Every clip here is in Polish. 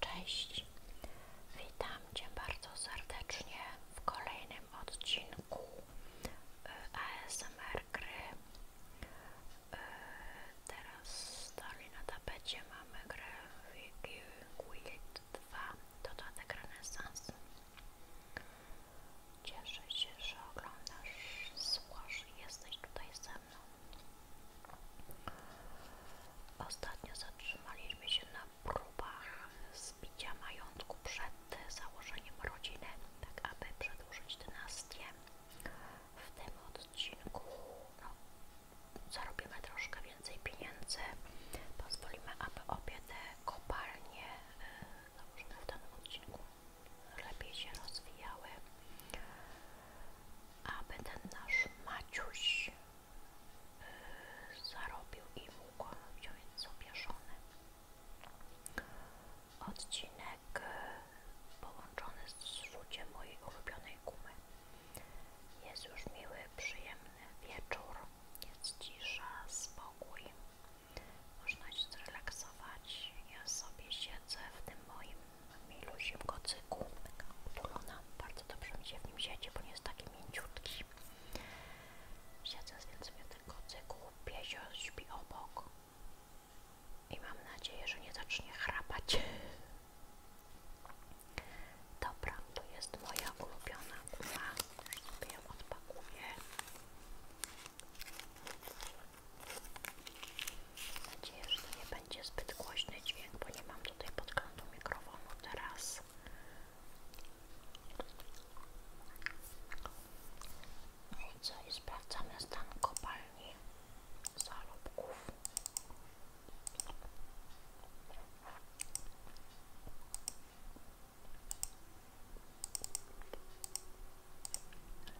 Cześć, witam Cię bardzo serdecznie w kolejnym odcinku e, ASMR gry. E, teraz dalej na tapecie mamy grę Wicked 2, dodatek renesans. Cieszę się, że oglądasz, słuchasz i jesteś tutaj ze mną. Ostatnio zatrzymaliśmy się na próbach zbicia majątku przed założeniem rodziny, tak aby przedłużyć dynastię. W tym odcinku no, zarobimy troszkę więcej pieniędzy. Pozwolimy, aby obie te kopalnie e, założone w danym odcinku lepiej się rozwijały, aby ten nasz Maciuś y, zarobił i mógł wziąć sobie żonę. Odcinek y, połączony z rzuciem mojej ulubionej gumy. Jest już miły, przyjemny wieczór, jest cisza, spokój. Można się zrelaksować. Ja sobie siedzę w tym moim milusim kocyku, taka utulona. Bardzo dobrze mi się w nim siedzi, bo nie jest taki mięciutki. Siedzę więc w tym kocyku, piesio śpi obok i mam nadzieję, że nie zacznie chrapać. Dobra, to jest moja ulubiona guma. Sobie ją odpakuję. Mam nadzieję, że to nie będzie zbyt głośny dźwięk, bo nie mam tutaj podglądu mikrofonu teraz. No i co? I sprawdzamy stan kopalni zalubków.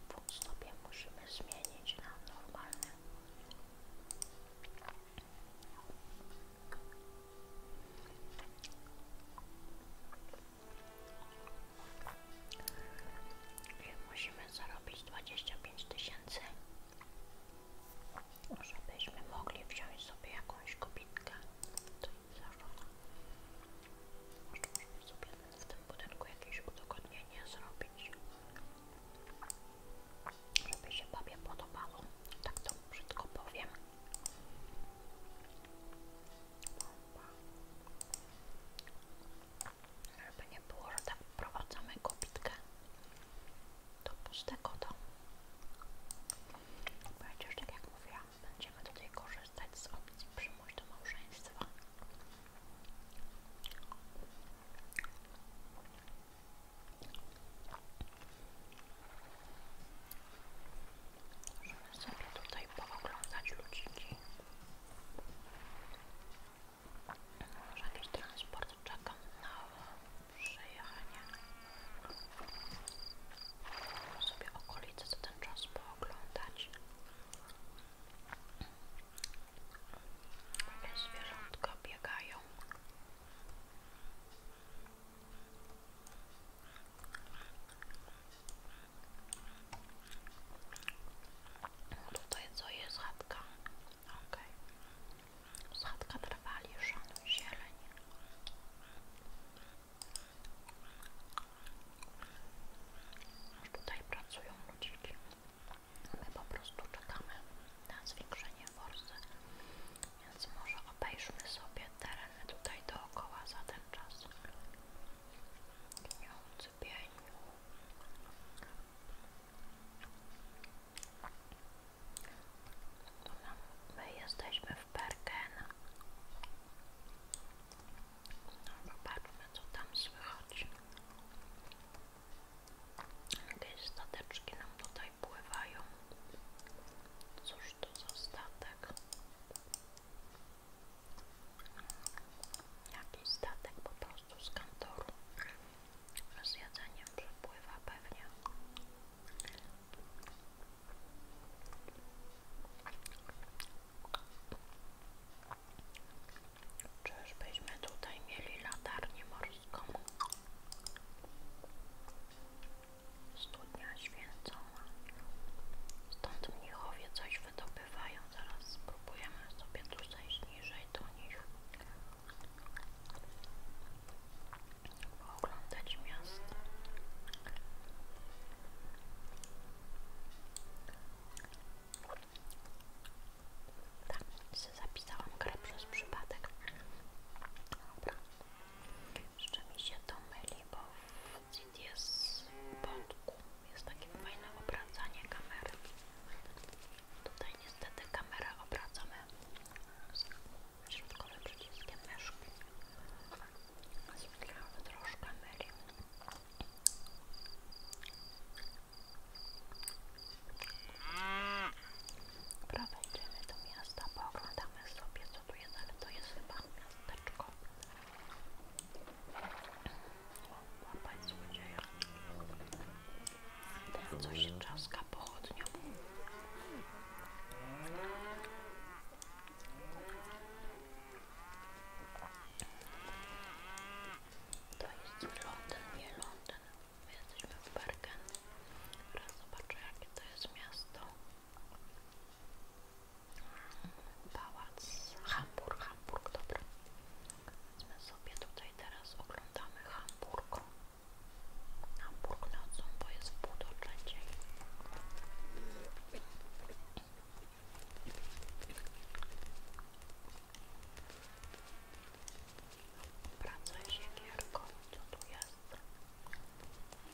Dwóch musimy zmienić na normalne. musimy zarobić 25 tysięcy, żebyśmy mogli wziąć sobie jakąś kobitkę zażona. Może możemy sobie w tym budynku jakieś udogodnienie zrobić, żeby się babie podobało. Tak to wszystko powiem. Żeby nie było, że tak wprowadzamy kobitkę do pustego domu. Przecież tak jak mówiłam, będziemy tutaj korzystać z opcji przymuś do małżeństwa. Możemy sobie tutaj pooglądać ludziki. Może jakiś transport czeka na przyjechanie sobie okolice za ten czas pooglądać. Jakie zwierzątka biegają. No tutaj co jest chatka? Ok. Z chatka trwali, szanuj zieleń. Tutaj pracują ludziki. My po prostu czekamy na zwiększenie forsy, więc może obejrzmy sobie tereny tutaj dookoła za ten czas. Gniący pieniu. My jesteśmy w Bergen. No Zobaczmy, co tam słychać. Jakieś stateczki nam tutaj pływają. Cóż to za statek? Jaki statek po prostu z kantoru. Z jedzeniem przepływa pewnie. Czyżbyśmy tutaj mieli latarnię morską? Studnia święcona. Stąd mnichowie coś wydobywają. Zaraz spróbujemy sobie tu zejść niżej do nich oglądać miasto. Tak, zapisałam grę przez przypadek. Dobra. Jeszcze mi się to myli, bo w CDS podku jest takie fajne obracanie kamery. Tutaj niestety kamera obracamy środkowym przyciskiem myszki. Zmieniamy troszkę myli. Dobra, wejdziemy do miasta, pooglądamy sobie co tu jest, ale to jest chyba miasteczko. O, łapać złodzieja. Ten, co się trzaska pochodnią. To jest Londyn, nie Londyn. My jesteśmy w Bergen. Teraz zobaczę jakie to jest miasto. Pałac Hamburg, Hamburg, dobra. Powiedzmy sobie tutaj teraz oglądamy Hamburg. Hamburg na bo jest w Pracuje się gierką, co tu jest?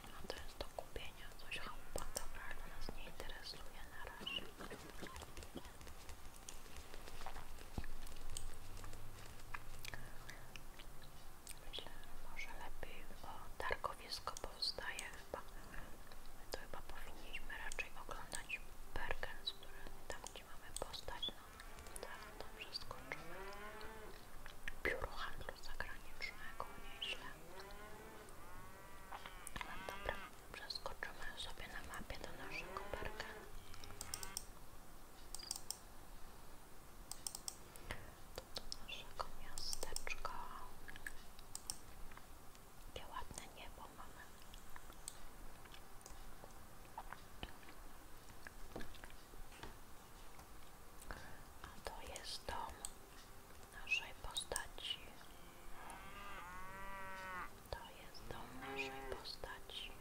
No to jest do kupienia, coś chałupa, dobra, ale nas nie interesuje na razie. Myślę, że może lepiej o targowisko powstaje chyba. My to chyba powinniśmy raczej oglądać Bergens, który tam gdzie mamy postać, no tak dobrze Biuro handlu zagranicznego, nieźle. No dobra, przeskoczymy sobie na mapie do naszego Bergen. To do naszego miasteczka. Jakie ładne niebo mamy. A to jest dom naszej postaci. To jest dom naszej postaci.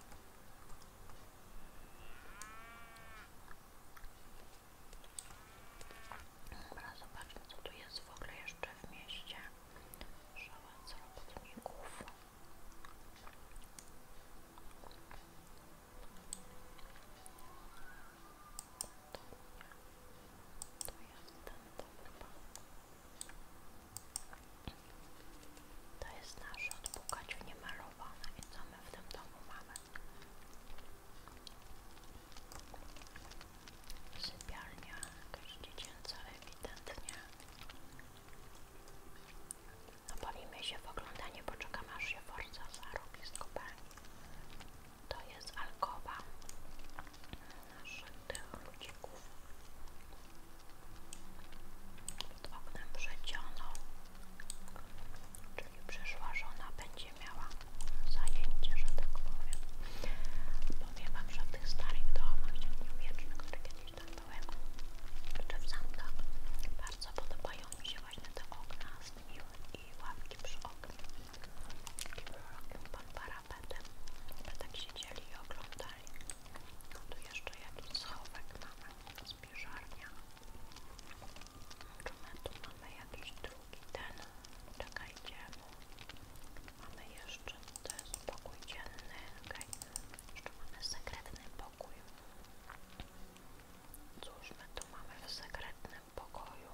Dobra, zobaczmy co tu jest w ogóle jeszcze w mieście. Szałas robotników. To, jest ten dom To jest nasz od Pukaciu niemalowana i co my w tym domu mamy? Sypialnia jakaś dziecięca ewidentnie. No bawimy się w oglądanie, poczekam aż się Forza zarobi z kopalni. To jest alkowa naszych tych ludzików. Pod oknem przecioną Czyli przyszła żona będzie miała zajęcie, że tak powiem. Powiem Wam, że w tych starych domach średniowiecznych, które kiedyś tam były, czy w zamkach, bardzo podobają mi się właśnie te okna z i ławki przy oknie. Taki był pod parapetem. My tak siedzieli i oglądali. No tu jeszcze jakiś schowek mamy, spiżarnia. Czy my tu mamy jakiś drugi ten? Czekajcie, mamy jeszcze, to jest pokój dzienny, okej, okay. jeszcze mamy sekretny pokój. Cóż my tu mamy w sekretnym pokoju?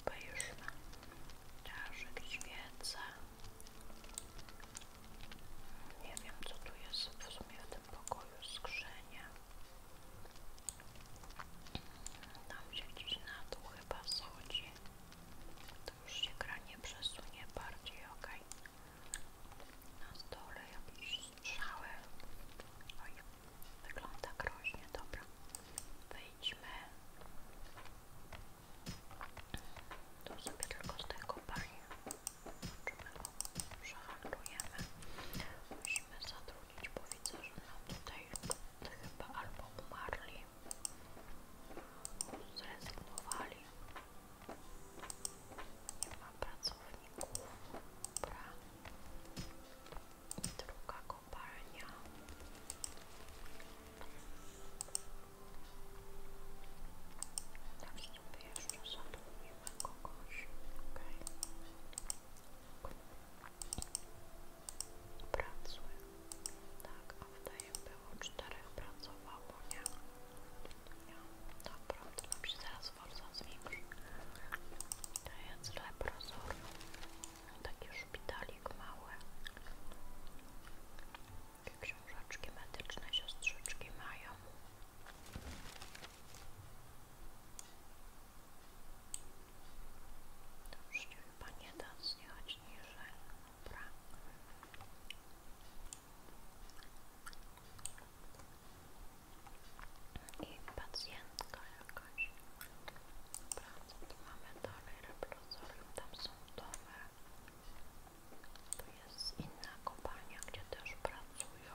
Obejrzmy, czaszek, świece, nie wiem, co tu jest w sumie w tym pokoju skrzynie. Tam się gdzieś na dół chyba schodzi. To już się gra nie przesunie bardziej, ok? Na stole jakieś strzały. Oj, wygląda groźnie, dobra. Wejdźmy. Tu sobie tylko z tego pani przehandlujemy. Musimy zatrudnić, bo widzę, że nam no, tutaj chyba albo umarli, zrezygnowali. Nie ma pracowników. Dobra. Druga kopalnia. Tak jeszcze zatrudnimy kogoś, okej. Okay. Pracuj. Tak, a wydaje było czterech pracowało, nie? Ja, dobra, to nam się zaraz forza zwiększy. To jest leprozor. Taki szpitalik mały. Jakie książki medyczne siostrzyczki mają. To już nie da zjechać niżej. Dobra. I pacjentka jakaś. Dobra, co tu mamy dalej? Replozorium, tam są domy. Tu jest inna kopalnia, gdzie też pracują.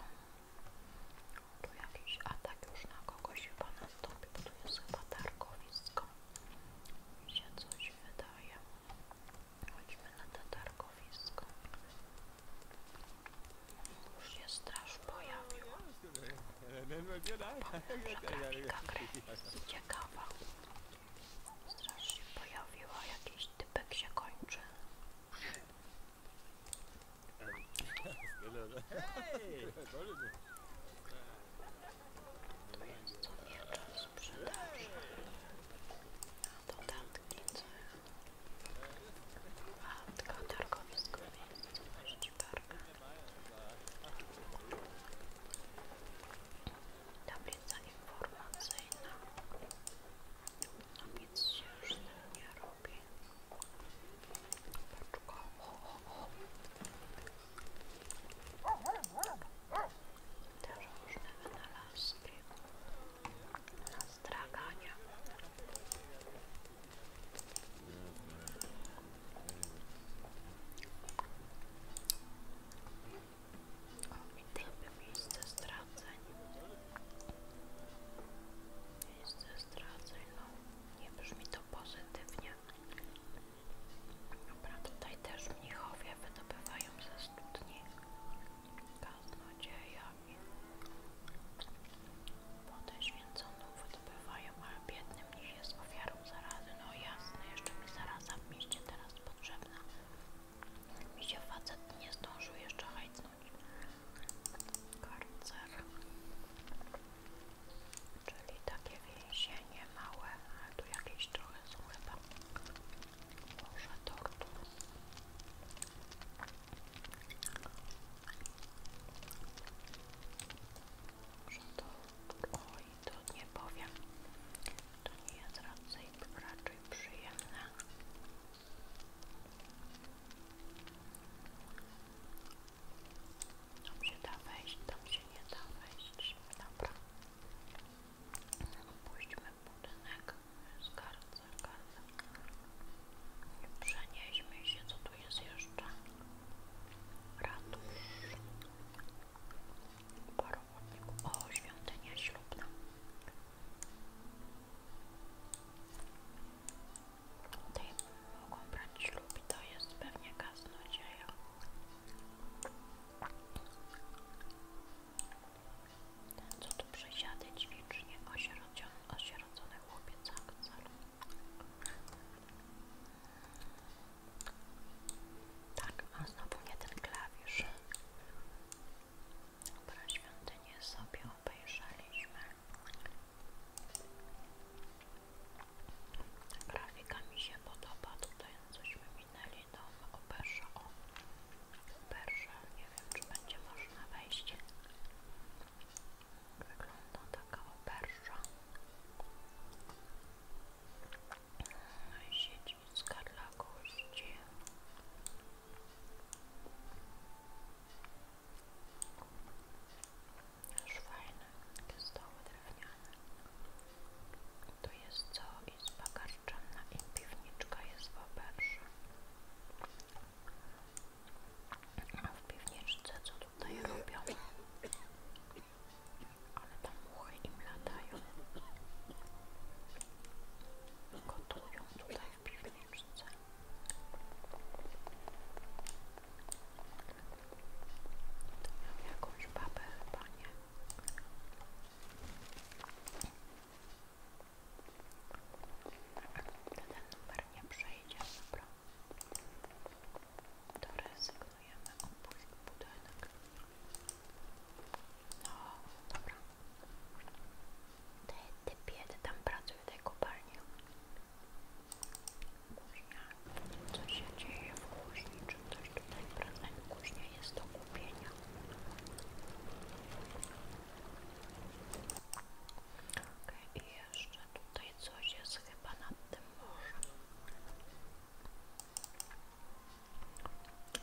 Tu jakiś atak już na kogoś chyba nastąpi, bo tu jest chyba targowisko. Mi się coś wydaje. Chodźmy na to targowisko. Już się straż pojawiła. Zaraz się pojawiła jakiś typek się kończy. Tu jest co wieczór sprzedaży. Dodatki, co A, tylko targowisko miejsce, możecie parkę tablica informacyjna. No nic się już z tym nie robi. Paczko. też różne wynalazki na stragania. O, i typy miejsce straceń. Miejsce straceń, no nie brzmi to pozytywnie. Dobra, tutaj też mnichowie wydobywają ze studni kaznodziejami. Podeświęconą wydobywają, ale biedny mnich jest ofiarą zarazy. No jasne, jeszcze mi zaraza w mieście teraz potrzebna. Mi się facet nie zdążył jeszcze hajcnąć. Karcer. Czyli takie więzienie małe, ale tu jakieś trochę są chyba. Może tortu. Może to... Oj, to nie powiem to nie jest raczej, raczej przyjemne. Tam się da wejść, tam się nie da wejść. Dobra. Opuśćmy budynek. Skarbce, skarbce. Przenieśmy się, co tu jest jeszcze? Ratusz. Paru o, świątynia ślubna. Tutaj mogą brać ślub i to jest pewnie kaznodzieja. Ten co tu przesiady ćwicznie osierocony, osierocony chłopiec akcel. Tak, mam znowu nie ten klawisz. Dobra, świątynię sobie obejrzeliśmy. Grafika mi się podoba, tutaj cośmy minęli do operza, o operza, nie wiem czy będzie można wejść. Wygląda taka operza. No Sieć Rzutska dla gości. Już fajne, takie stoły drewniane. To jest co? Izba karczana i piwniczka jest w oberze. A w piwniczce co tutaj robią? ale tam muchy im latają. Gotują tutaj w piwniczce. To miał jakąś babę chyba, nie? To ten numer nie przejdzie, dobra. To zaklejemy obu budynek. No, dobra. Ty, ty tam pracuj w tej kopalni. Kuźnia. Co się dzieje w kuźni? Czy ktoś tutaj pracuje? Kuźnia jest do kupienia. Okej, i jeszcze tutaj coś jest chyba nad tym morzem.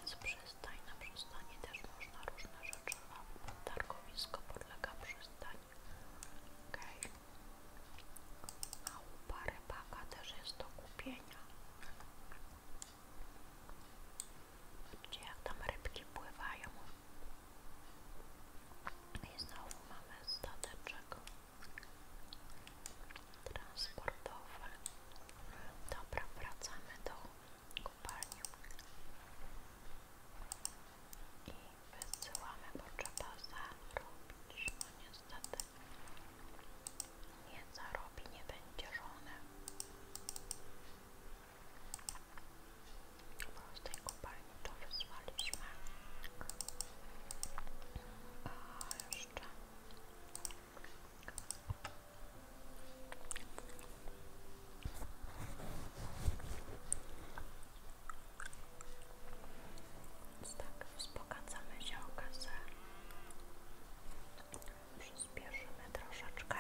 Z przystań na przystani też można różne rzeczy ma Targowisko podlega przystań. Okej. A łupa rybaka też jest do kupienia. Widzicie jak tam rybki pływają. I znowu mamy stateczek transportowe. Dobra, wracamy do kopalni i wysyłamy, bo trzeba zarobić. No niestety nie zarobi, nie będzie żony. Bo z to wysłaliśmy. A jeszcze więc tak, wzbogacamy się o kasę. Przyspieszymy troszeczkę.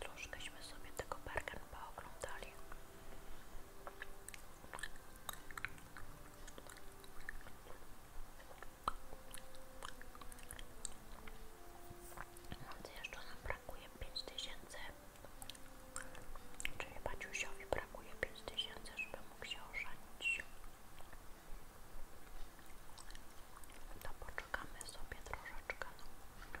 Troszkęśmy sobie tego bergen pooglądali. Więc jeszcze nam brakuje 5000, czyli Baciusiowi brakuje 5000, żeby mógł się ożenić. To poczekamy sobie troszeczkę. No.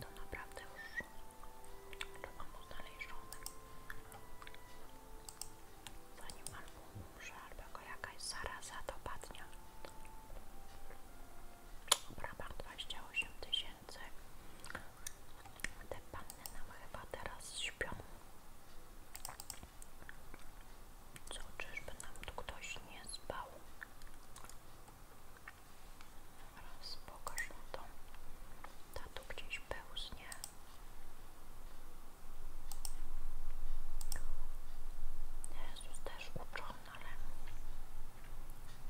to naprawdę już trzeba mu znaleźć żonę. Zanim albo umrze, albo go jakaś zaraza dopadnie. Brabant 28 tysięcy. Te panny nam chyba teraz śpią. Co, czyżby nam tu ktoś nie zbał? Teraz pokaż mu tą. Ta tu gdzieś pełznie. Jezus też uczony, ale...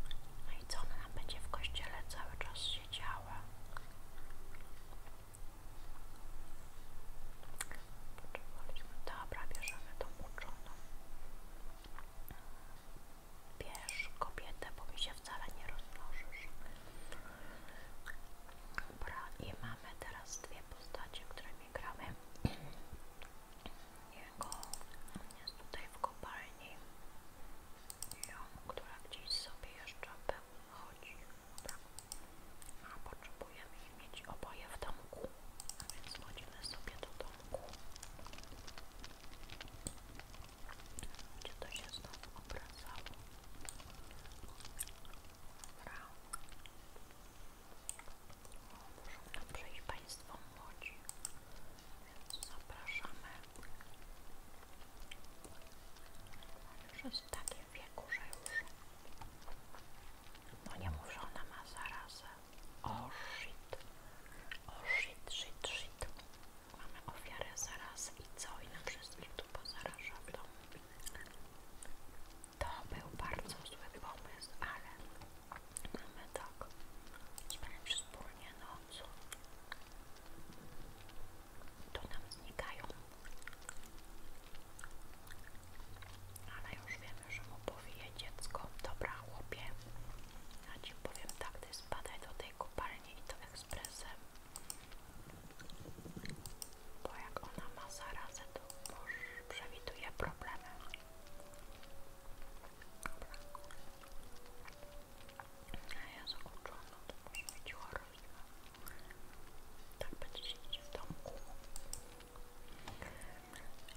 a no i co ona będzie w kościele cały czas siedziała? Potrzebowaliśmy. Dobra, bierzemy tą uczoną. Wiesz, kobietę, bo mi się wcale nie rozmnożysz. Dobra, i mamy teraz dwie postacie, które którymi gramy. Jego jest tutaj w kopalni. Ją, która gdzieś sobie jeszcze chodzi. Dobra. A potrzebujemy ich mieć oboje w domku, a więc chodzimy sobie do domku. Czy to się znowu obracało? Dobra. muszą nam przejść Państwo młodzi, więc zapraszamy. już jest w takim wieku, że już... No nie mów, że ona ma zarazę. O oh shit. O oh shit, shit, shit. Mamy ofiarę zaraz i co? I na wszystkich tu pozaraża to. To był bardzo zły pomysł, ale mamy tak. i Sprawdź wspólnie noc. To nam znikają. Ale już wiemy, że mu powieje dziecko. Dobra, chłopie. Ja ci powiem tak, ty spadaj do tej kopalni i to ekspresem bo jak ona ma zarazę to już przewiduje problemy dobra a ja zakończona to może być chorobiła tak będzie siedzieć w domku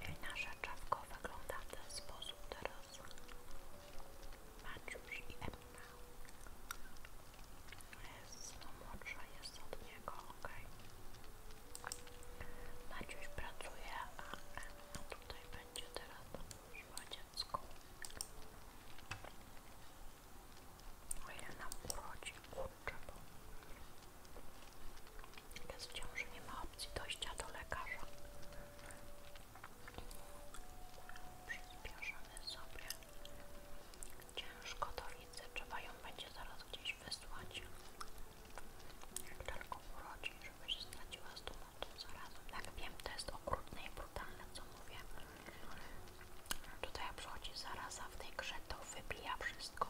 i nasza czapka wygląda w ten sposób teraz Maciuś i Emma. Jest, no młodsza jest od niego, okej. Maciuś pracuje, a Emma tutaj będzie teraz pomóżła dziecku. O ile nam urodzi, kurczę, bo jest w nie ma opcji dojścia do lekarza. Przyspieszamy sobie. Ciężko to widzę, trzeba ją będzie zaraz gdzieś wysłać. Jak tylko urodzi, żeby się straciła z tą zarazem. Tak wiem, to jest okrutne i brutalne, co mówię. Tutaj przychodzi zaraza w tej grze, to wybija wszystko.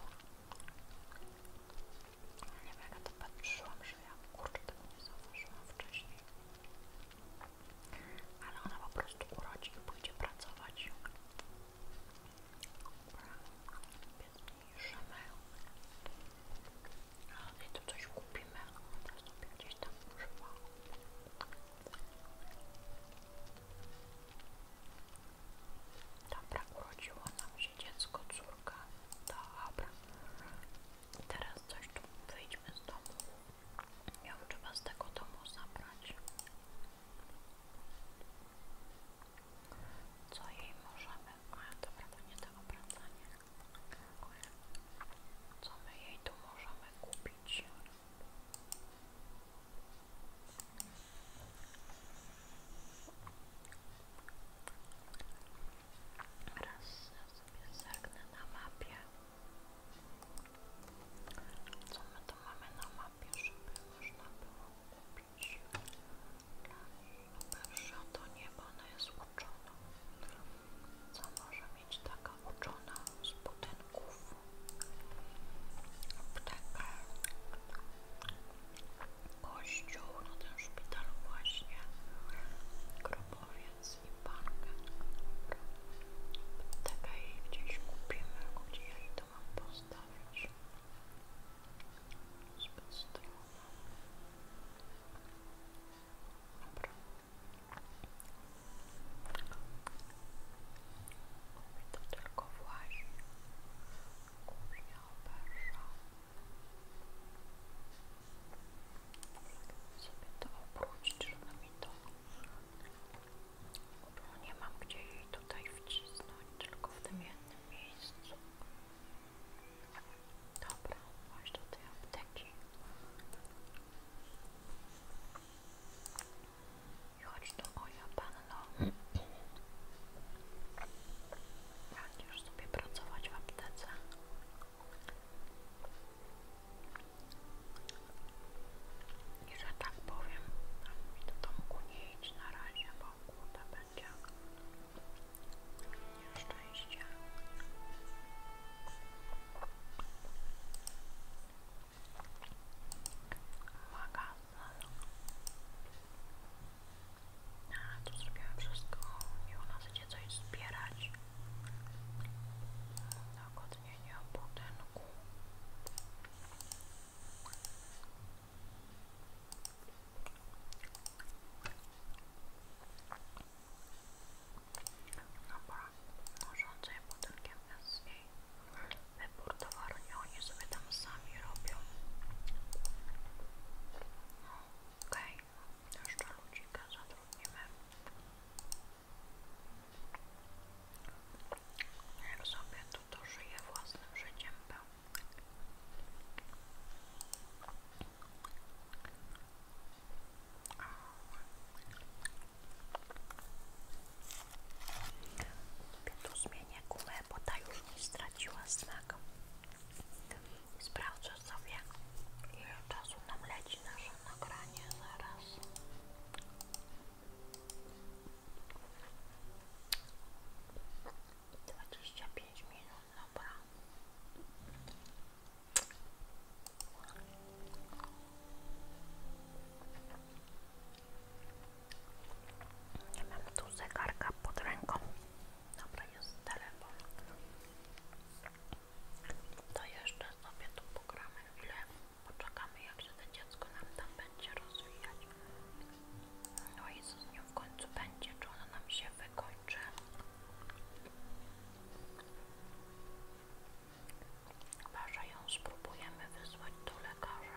Nie wiem, jak ja to patrzyłam, że ja kurczę tego nie zauważyłam wcześniej. Ale ona po prostu urodzi i pójdzie pracować. Dobra, zmniejszymy. Ale tu coś kupimy. Teraz sobie gdzieś tam używa. Dobra, urodziło nam się dziecko, córka. Dobra. Teraz coś tu wyjdźmy z domu. Ją trzeba z tego domu zabrać. Co jej możemy? A dobra, to nie to obracanie. Co my jej tu możemy kupić? Raz sobie zerknę na mapie. Co my to mamy na mapie, żeby można było kupić? Pierwsza to niebo, ona jest uczona. Co może mieć taka uczona z budynków? Apteka kościół, no ten szpitalu właśnie, grobowiec i bankę. Taka jej gdzieś kupimy, gdzie ja jej to mam postawić. Zbyt strona. Dobra. Mówię to tylko właśnie. Kuchnia oberża sobie to obrócić, żeby mi to... Bo nie mam gdzie jej tutaj wcisnąć, tylko w tym jednym miejscu. Dobra, chodź do tej apteki. I chodź do moja panno. Będziesz tak, sobie pracować w aptece. I że tak powiem, to do domku nie idź na razie, bo kurde będzie nieszczęście. Magazyn. A, tu zrobiłam wszystko i ona chce coś zbierać dogodnienia budynku Dobra, urządzenie budynkiem jest jej wybór towaru, nie oni sobie tam sami robią no. Okej, okay. jeszcze ludzika zatrudnimy. Jak sobie to żyje własnym życiem był. Sobie tu bo ta już nie straciła smaku. Sprawdzę sobie, ile czasu nam leci nasze nagranie zaraz. Dwadzieścia pięć minut, dobra. Nie mam tu zegarka Dobra, jest telefon. To jeszcze sobie tu pogramy chwilę. Poczekamy, jak się to dziecko nam tam będzie rozwijać. No i z nią w końcu będzie? Czy ono nam się wykończy? Chyba, że ją spróbujemy wysłać do lekarza.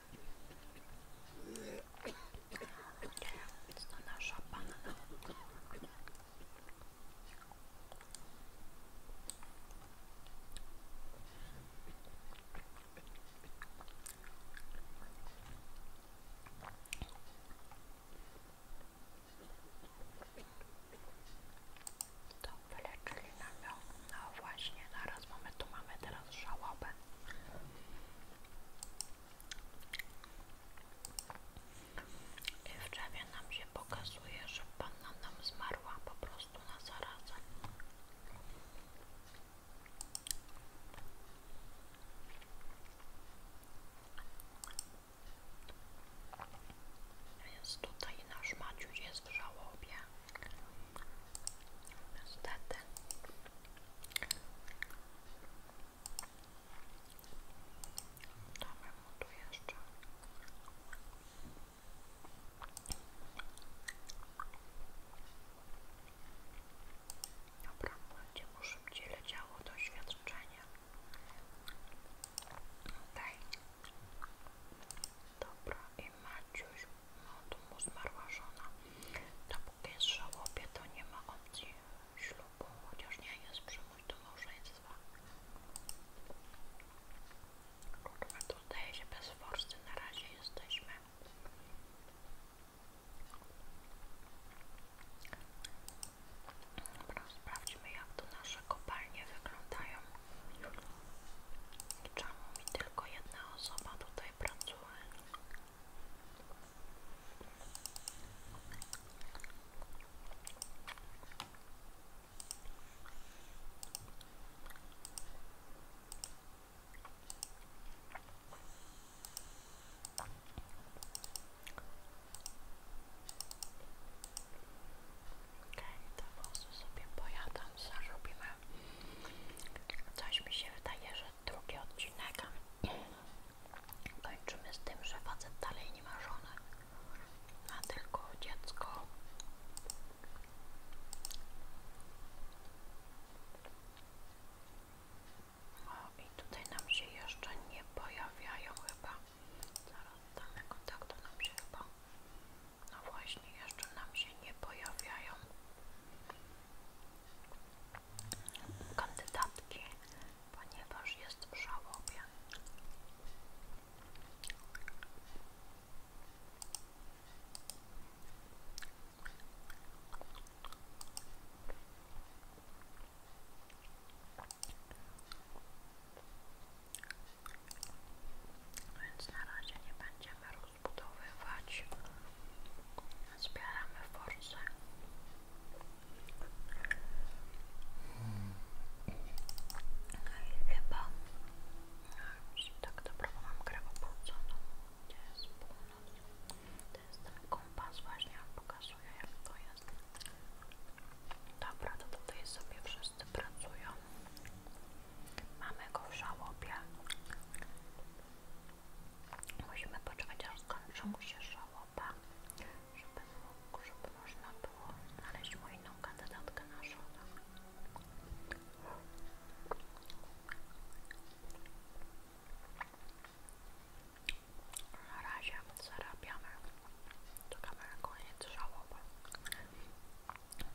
to nasza panna. To wyleczyli No właśnie, zaraz mamy, tu mamy teraz żałobę. I w drzewie nam się pokazuje, że panna nam zmarła po prostu na zarazę. Jest tutaj nasz Maciuś jest w żałobie. Niestety. Dobra, będzie mu szybciej leciało doświadczenie. Okej. Dobra, i Maciuś, no tu mu zmarła żona. To Dopóki jest żałobie, to nie ma opcji ślubu, chociaż nie jest przymus do małżeństwa. Kurwa, tu zdaje się bez forsy na razie jesteśmy. Dobra, sprawdźmy jak to nasze kopalnie wyglądają. I mi tylko jedna osoba tutaj pracuje? Okej, okay, to po prostu sobie pojadam, zarobimy. Coś mi się wydaje, że drugi odcinek. Kończymy z tym, że facet dalej nie ma żony, a tylko dziecko. O, i tutaj nam się jeszcze nie pojawiają chyba. Zaraz damy kontakt, to nam się chyba. No właśnie, jeszcze nam się nie pojawiają kandydatki, ponieważ jest w żałobie. Więc na razie nie będziemy rozbudowywać. Zbieramy force. No I chyba tak dobrze mam grę opłuconą. To jest północ. To jest ten kompas właśnie, on pokazuje jak to jest. Dobra, to tutaj sobie wszyscy pracują. Mamy go w żałobie. Musimy poczekać aż skończą się żałoba, żeby, mógł, żeby można było znaleźć mu inną kandydatkę na żonę. Na razie zarabiamy, czekamy na koniec żałoby.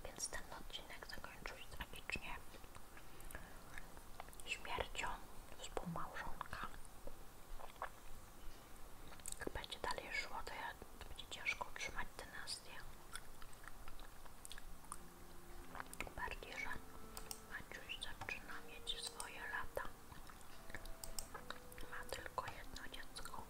Więc ten odcinek zakończył się tragicznie śmiercią współmałżonka. Jak będzie dalej szło, to będzie ciężko utrzymać dynastię. Bardziej, że Maciuś zaczyna mieć swoje lata. Ma tylko jedno dziecko.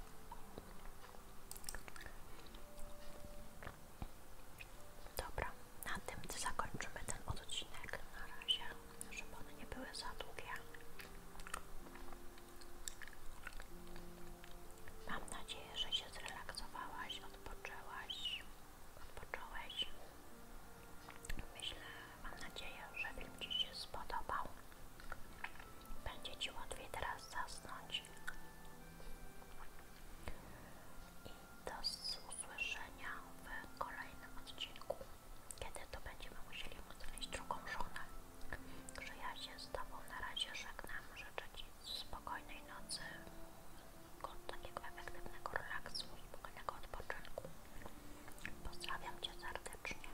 Dobra, na tym zakończymy ten odcinek na razie, żeby one nie były za długie. Mam nadzieję, że się zrelaksowałaś, odpoczęłaś, odpocząłeś. Myślę, mam nadzieję, że film Ci się spodobał. Będzie Ci łatwiej teraz zasnąć. I do usłyszenia w kolejnym odcinku, kiedy to będziemy musieli odnaleźć drugą żonę. Także ja z Tobą na razie żegnam, życzę Ci spokojnej nocy, takiego efektywnego relaksu, spokojnego odpoczynku. Pozdrawiam Cię serdecznie.